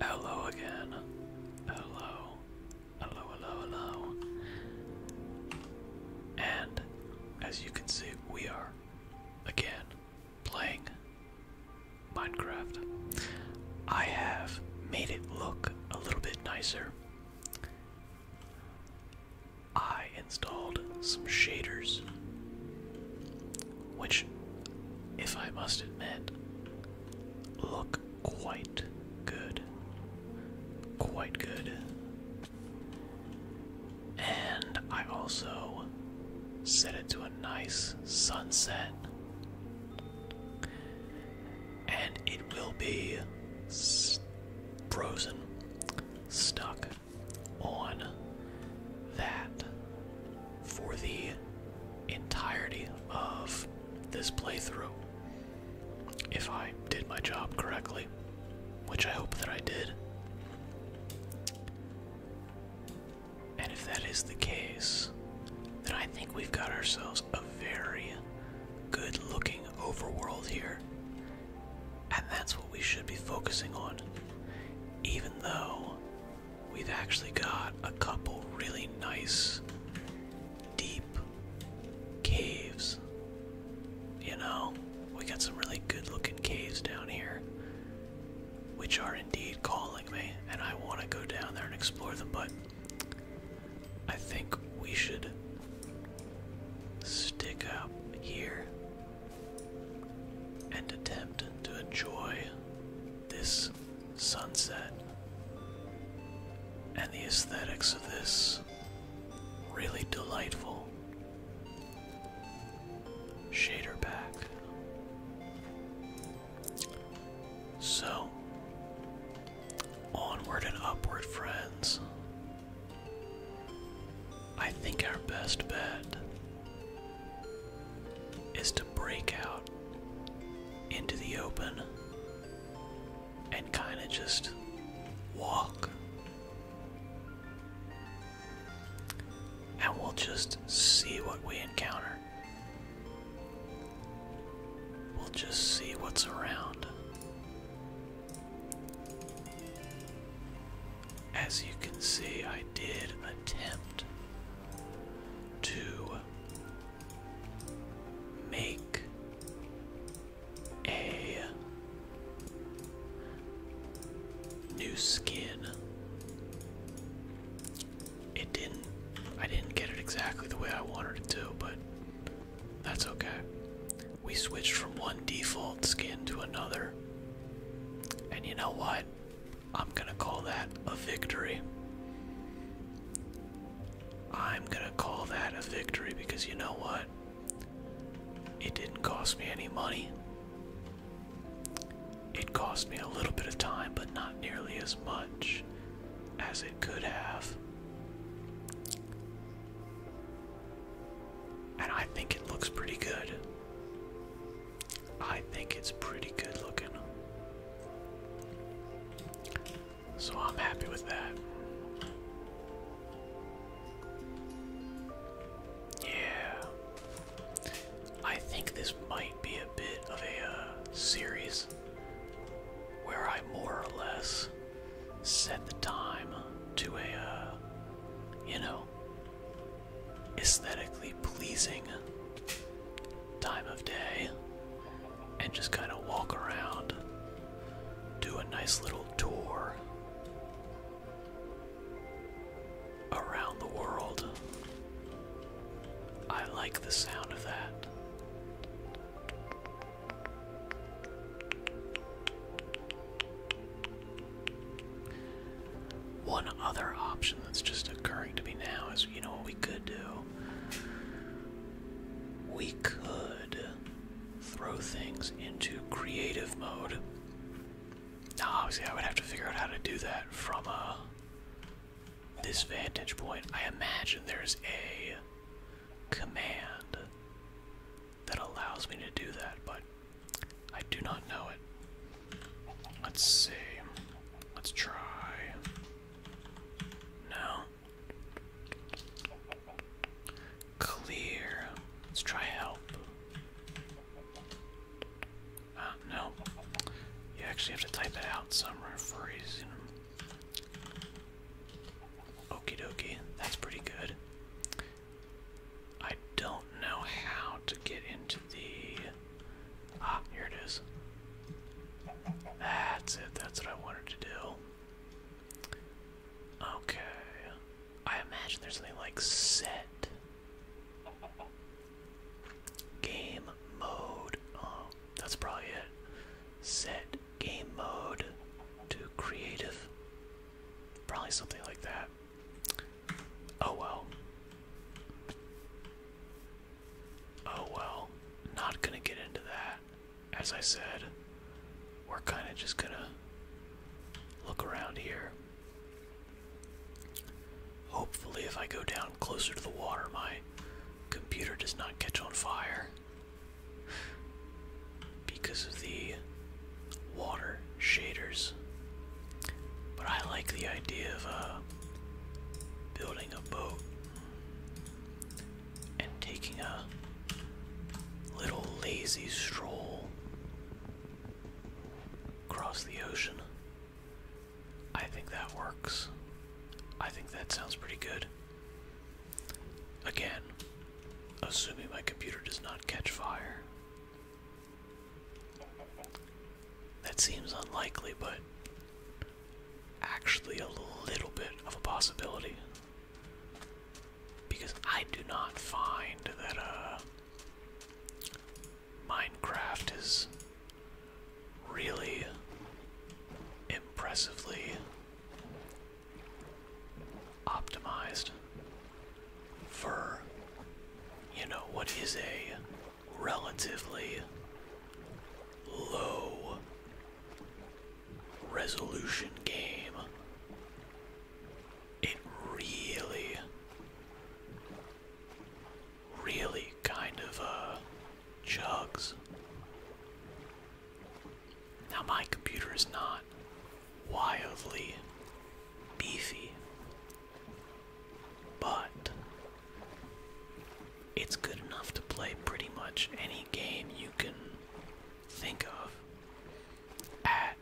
Hello again. Hello. Hello, hello, hello. And as you can see, we are again playing Minecraft. I have made it look a little bit nicer. I installed some shaders, which, if I must admit, look quite good. Quite good. And I also set it to a nice sunset. And it will be frozen, stuck on that for the entirety of this playthrough. If I did my job correctly, which I hope that I did. And if that is the case, then I think we've got ourselves a very good looking overworld here. And that's what we should be focusing on. Even though we've actually got a couple really nice, deep caves. You know, we got some really good looking caves down here, which are indeed calling me, and I want to go down there and explore them, but I think we should stick up here and attempt to enjoy this sunset. And the aesthetics of this really delightful shader pack. So, onward and upward, friends. I think our best bet is to break out into the open and kind of just walk. And we'll just see what we encounter. We'll just see what's around. As you can see, I did attempt to make a new skin. It didn't I didn't get it exactly the way I wanted it to, but that's okay. We switched from one default skin to another. And you know what? I'm gonna call that a victory. I'm gonna call that a victory because you know what? It didn't cost me any money. It cost me a little bit of time, but not nearly as much as it could have. And I think it looks pretty good. I think it's pretty good looking. So I'm happy with that. Yeah. I think this might be a bit of a uh, series where I more or less set the time to a, uh, you know, aesthetically pleasing time of day and just kind of walk around, do a nice little tour around the world. I like the sound of that. One other option that's just occurring to me now is you know what we could do? We could throw things into creative mode. Now, obviously, I would have to figure out how to do that from a uh, this vantage point. I imagine there's a command that allows me to do that, but I do not know it. Let's see. Let's try. No. Clear. Let's try help. Uh, no. You actually have to type it out somewhere for a reason. That's pretty good. I don't know how to get into the... Ah, here it is. That's it. That's what I wanted to do. Okay. I imagine there's something like set. Game mode. Oh, that's probably it. Set game mode to creative. Probably something like that. Oh well. Oh well. Not gonna get into that. As I said, we're kind of just gonna look around here. Hopefully, if I go down closer to the water, my computer does not catch on fire because of the water shaders but I like the idea of uh, building a boat and taking a little lazy stroll across the ocean. I think that works. I think that sounds pretty good. Again, assuming my computer does not catch fire. That seems unlikely, but actually a little bit of a possibility. Because I do not find that uh, Minecraft is really impressively optimized for, you know, what is a relatively low resolution game, it really, really kind of uh, chugs. Now, my computer is not wildly beefy, but it's good enough to play pretty much any game you can think of at,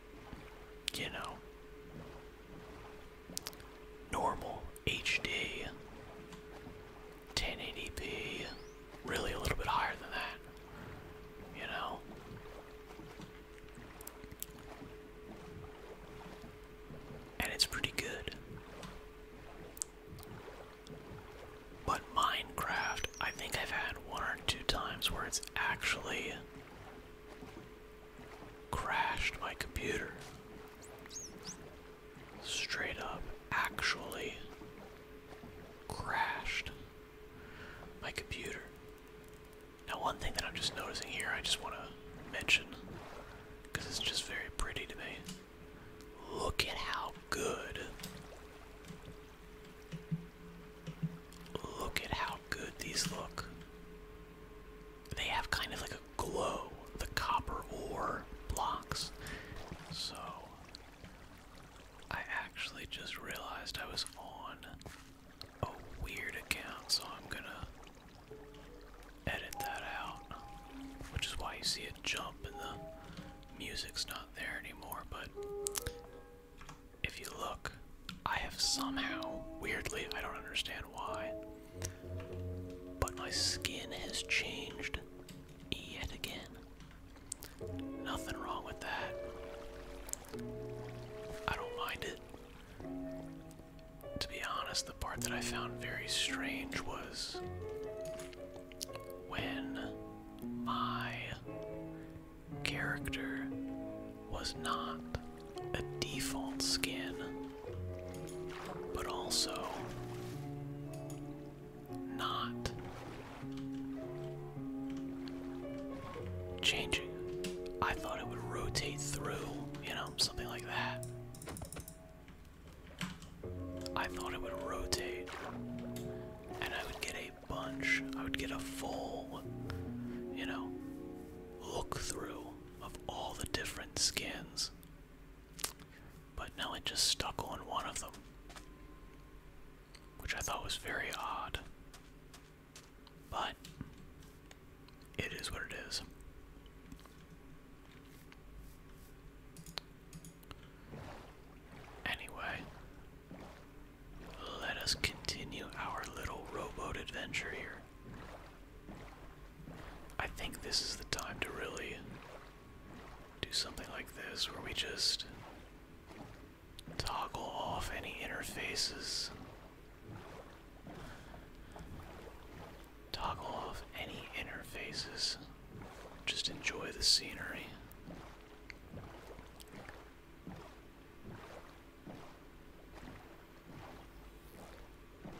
you know, normal HD, 1080p, really a little bit higher than that, you know and it's pretty good. But Minecraft, I think I've had one or two times where it's actually crashed my computer. Straight up, actually crashed my computer. Now, one thing that I'm just noticing here, I just want to mention because it's just very pretty to me. Look at how good. Look at how good these look. They have kind of like a glow, the copper ore blocks. So, I actually just realized I was on a weird account, so I'm gonna edit that out, which is why you see it jump and the music's not there anymore. But if you look, I have somehow, weirdly, I don't understand why, but my skin has changed yet again. Nothing wrong with that. I don't mind it to be honest, the part that I found very strange was when my character was not a default skin, but also not changing. I thought it would rotate through, you know, something like that. I thought it would rotate and I would get a bunch, I would get a full, you know, look through of all the different skins. But now it just stuck on one of them, which I thought was very odd. But it is what it is. Anyway, let us continue our little rowboat adventure here. I think this is the time to really do something like this where we just toggle off any interfaces Toggle off any interfaces. Just enjoy the scenery.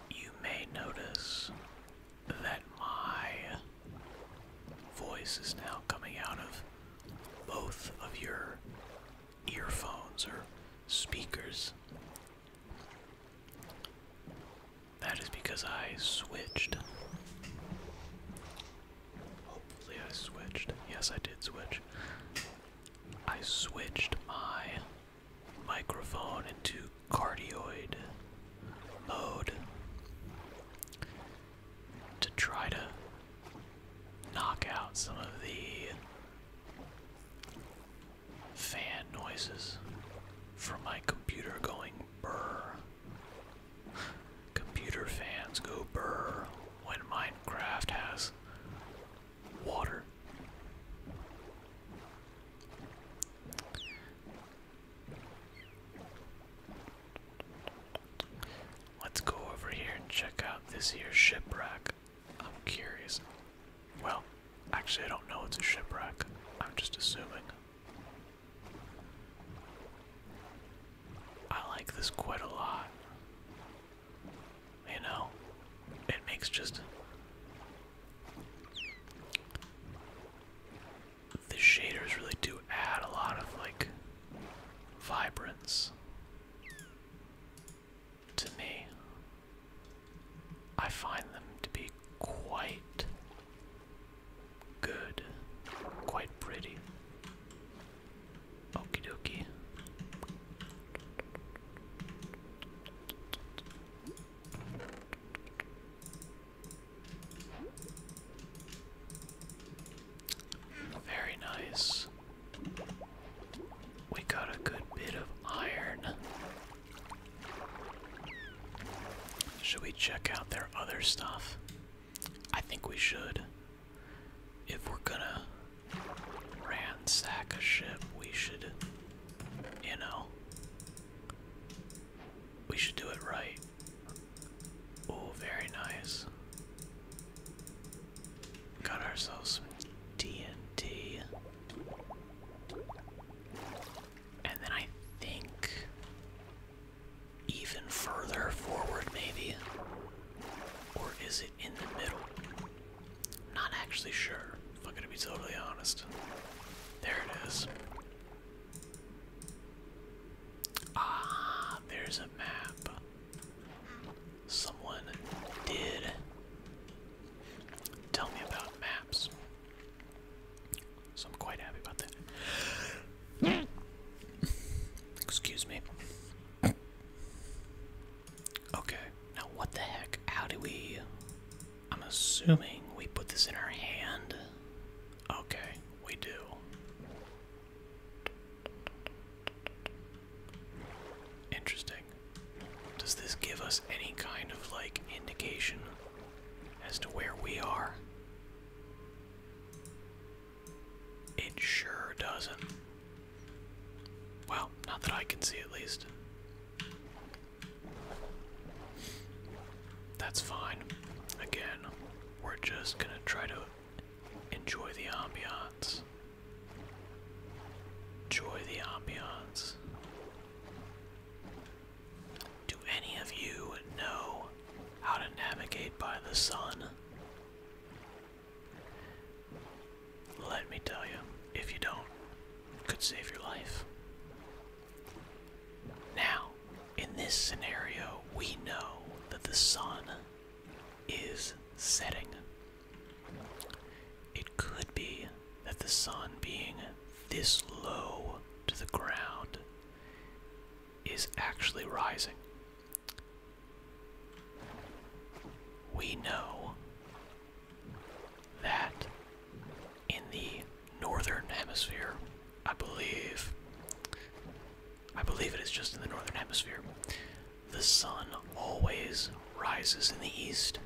You may notice that my voice is now coming out of both of your earphones or speakers. That is because I switched. Hopefully, I switched. Yes, I did switch. I switched my microphone into cardioid mode to try to knock out some of the fan noises from my computer going brr. Computer fans go brr when Minecraft has water. Let's go over here and check out this here shipwreck. I'm curious. Well, actually, I don't know it's a shipwreck. I'm just assuming. I like this quite a lot. You know, it makes just. The shaders really do add a lot of, like, vibrance to me. I find them to be quite good, quite pretty. Okie dokie. Very nice. We got a good bit of iron. Should we check out their other stuff? I think we should. If we're gonna ransack a ship, we should, you know, we should do it right. Oh, very nice. Got ourselves some TNT. And then I think even further forward, maybe? Or is it in the middle? am not actually sure, if I'm gonna be totally honest. There it is. Ah, there's a map someone did tell me about maps. So I'm quite happy about that. Excuse me. Okay, now what the heck? How do we. I'm assuming we put this in our hand. Okay, we do. Interesting. Does this give us any kind of like indication as to where we are? It sure doesn't. Well, not that I can see at least. That's fine. Again, we're just gonna try to enjoy the ambiance. Enjoy the ambiance. Do any of you know how to navigate by the sun? Let me tell you, if you don't, could save your life. Now, in this scenario, we know that the sun is setting. It could be that the sun being this low to the ground is actually rising. We know that in the northern hemisphere, I believe, I believe it is just in the northern hemisphere, the sun always rises in the east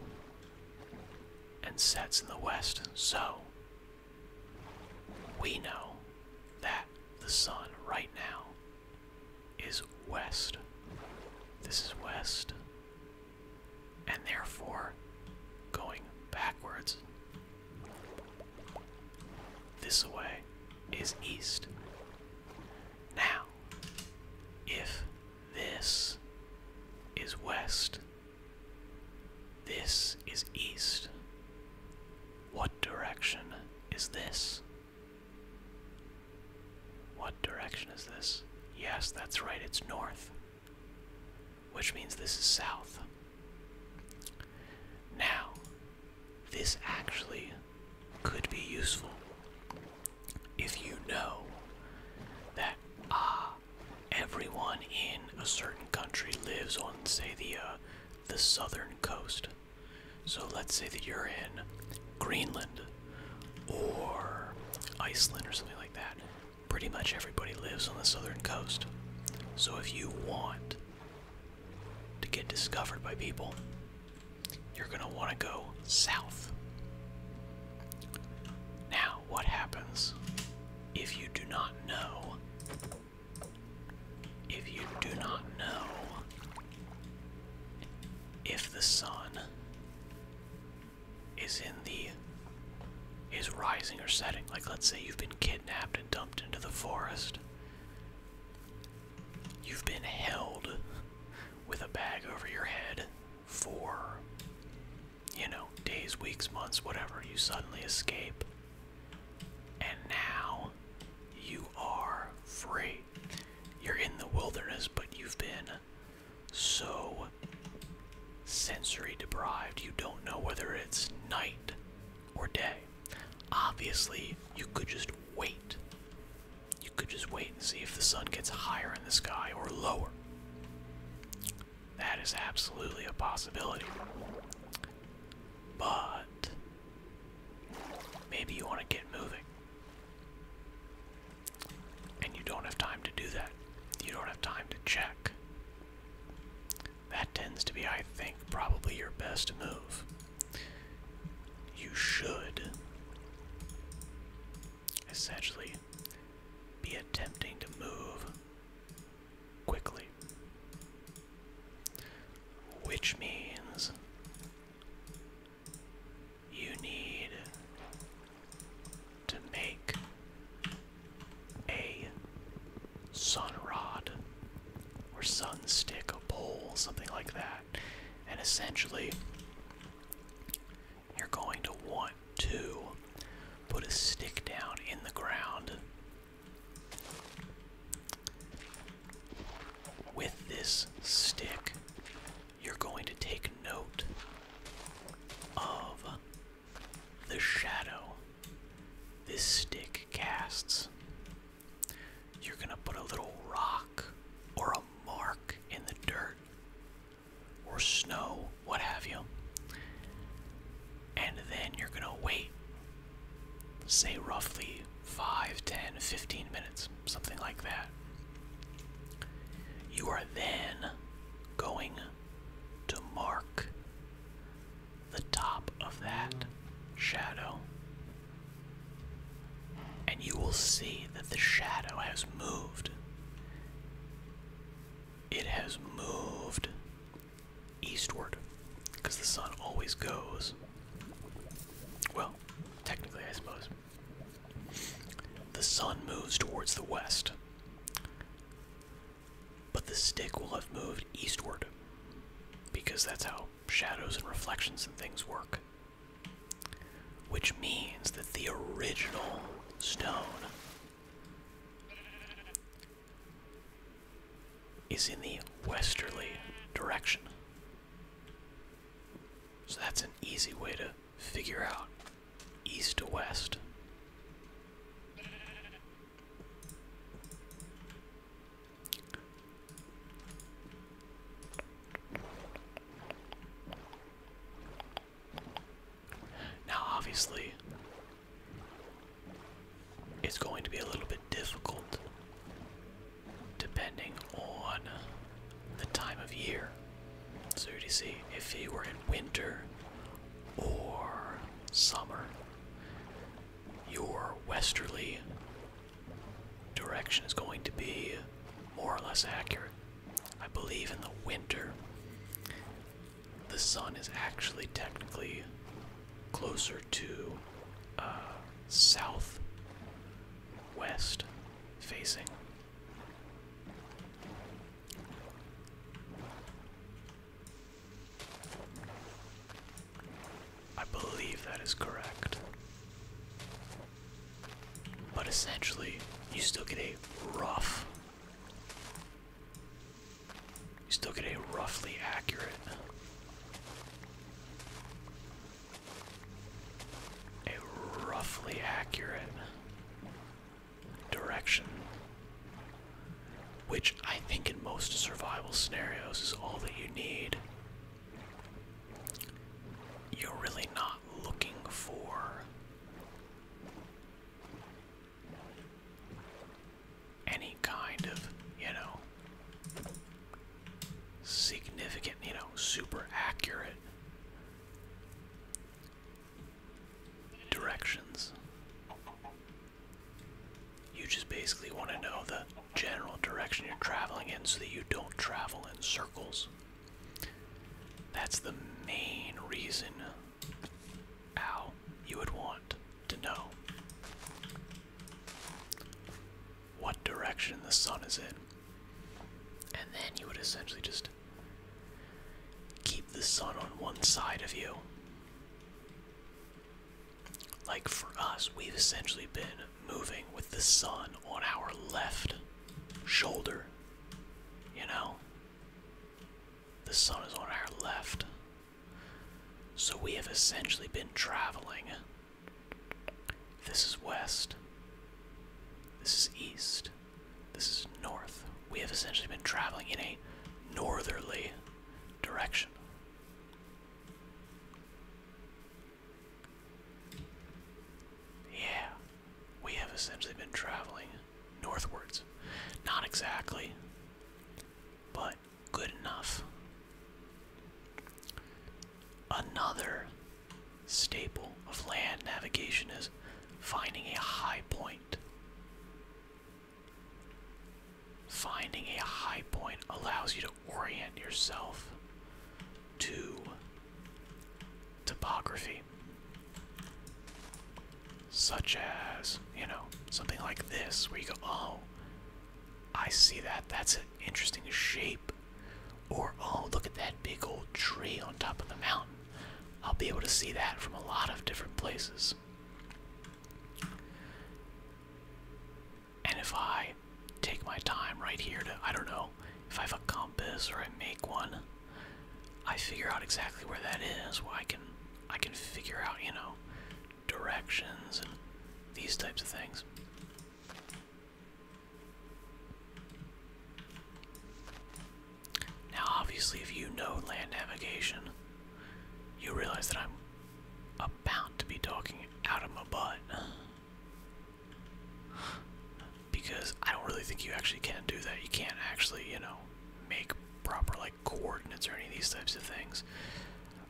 and sets in the west, so we know that the sun right now is west. This is west, and therefore going backwards. This way is east. Now, if this is west. This is east. What direction is this? What direction is this? Yes, that's right, it's north. Which means this is south. Now, this actually could be useful if you know that ah everyone in a certain country lives on say the uh, the southern coast so let's say that you're in greenland or iceland or something like that pretty much everybody lives on the southern coast so if you want to get discovered by people you're going to want to go south. Now, what happens if you do not know? If you do not know if the sun is in the is rising or setting. Like let's say you've been kidnapped and dumped into the forest. You've been held with a bag over your head for you know days weeks months whatever you suddenly escape and now you are free you're in the wilderness but you've been so sensory deprived you don't know whether it's night or day obviously you could just wait you could just wait and see if the sun gets higher in the sky or lower. That is absolutely a possibility. But maybe you want to get moving. And you don't have time to do that. You don't have time to check. That tends to be, I think, probably your best move. You should essentially be attempting to move quickly. Which means you need to make a sun rod or sun stick, a pole, something like that. And essentially, you're going to want to put a stick down in the ground with this stick you're going to take note of the shadow this stick casts you're going to put a little rock or a mark in the dirt or snow, what have you. And then you're going to wait, say roughly five, ten, fifteen minutes, something like that. You are then going to mark the top of that shadow and you will see that the shadow has moved. It has moved eastward because the sun always goes. Well, technically, I suppose. The sun moves towards the west, but the stick will have moved eastward because that's how shadows and reflections and things work. Which means that the original stone is in the westerly direction. So that's an easy way to figure out east to west. Now, obviously, it's going to be a little bit difficult depending on the time of year. So, to see, if you were in winter or summer, your westerly direction is going to be more or less accurate. I believe in the winter, the sun is actually technically closer to uh, south west facing. I believe that is correct. But essentially, you still get a rough. You still get a roughly accurate. A roughly accurate direction. Which I think in most survival scenarios is all that you need you're really not looking for any kind of, you know, significant, you know, super accurate directions. You just basically want to know the general direction you're traveling in so that you don't travel in circles. That's the main reason how you would want to know what direction the sun is in. And then you would essentially just keep the sun on one side of you. Like for us, we've essentially been moving with the sun on our left shoulder. You know? The sun is on our left. So we have essentially been traveling. This is west. This is east. This is north. We have essentially been traveling in a northerly direction. Yeah, we have essentially been traveling northwards. Not exactly, but good enough. Another staple of land navigation is finding a high point. Finding a high point allows you to orient yourself to topography. Such as, you know, something like this, where you go, oh, I see that. That's an interesting shape. Or, oh, look at that big old tree on top of the mountain. I'll be able to see that from a lot of different places. And if I take my time right here to, I don't know, if I have a compass or I make one, I figure out exactly where that is, where I can, I can figure out, you know, directions and these types of things. Now, obviously, if you know land navigation, you realize that I'm about to be talking out of my butt because I don't really think you actually can do that. You can't actually, you know, make proper like coordinates or any of these types of things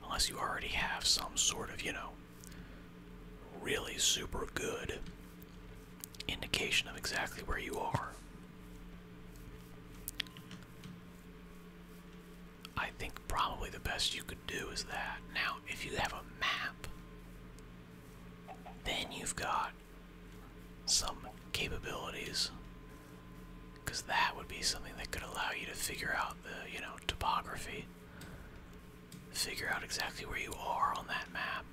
unless you already have some sort of, you know, really super good indication of exactly where you are. I think probably the best you could do is that. Now, if you have a map, then you've got some capabilities. Because that would be something that could allow you to figure out the, you know, topography. Figure out exactly where you are on that map.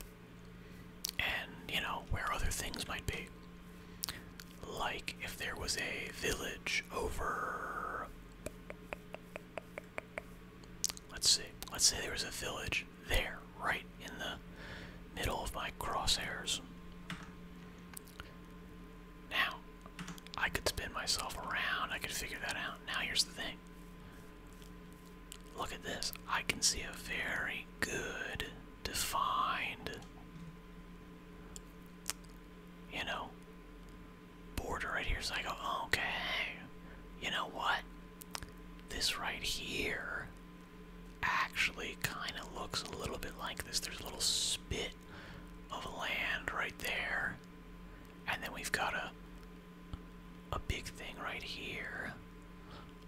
And, you know, where other things might be. Like if there was a village over Let's see. Let's say there was a village there, right in the middle of my crosshairs. Now, I could spin myself around. I could figure that out. Now, here's the thing. Look at this. I can see a very good, defined, you know, border right here. So I go, okay, you know what? This right here actually kind of looks a little bit like this. There's a little spit of land right there. And then we've got a a big thing right here.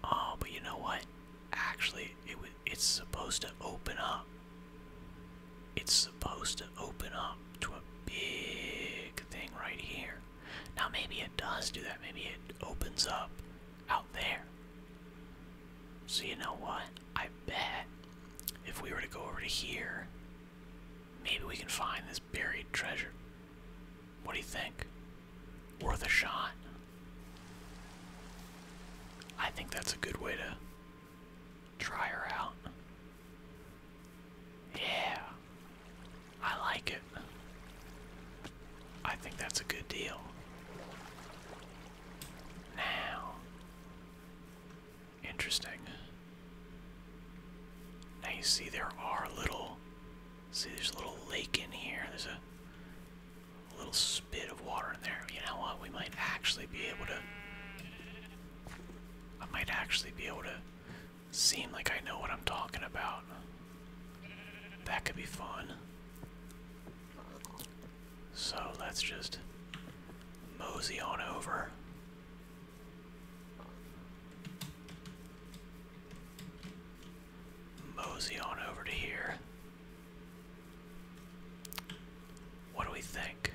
Oh, but you know what? Actually, it it's supposed to open up. It's supposed to open up to a big thing right here. Now maybe it does do that. Maybe it opens up out there. So you know what? I bet if we were to go over to here, maybe we can find this buried treasure. What do you think? Worth a shot. I think that's a good way to try her out. Yeah. I like it. I think that's a good deal. Now. Interesting. Now you see there are little see there's a little lake in here. There's a little spit of water in there. You know what? We might actually be able to I might actually be able to seem like I know what I'm talking about. That could be fun. So let's just mosey on over. Mosey on over to here. What do we think?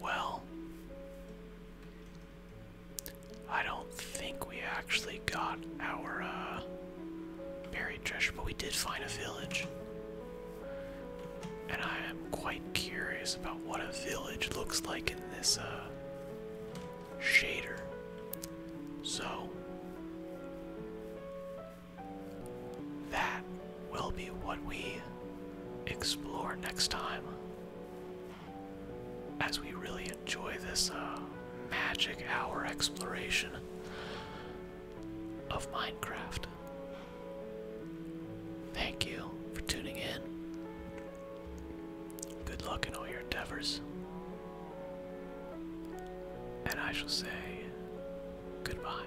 Well, I don't think we actually got our uh, buried treasure, but we did find a village. And I am quite curious about what a village looks like in this uh, shader. So, that will be what we explore next time as we really enjoy this uh, magic hour exploration of Minecraft. Thank you for tuning in. Good luck in all your endeavors. And I shall say goodbye.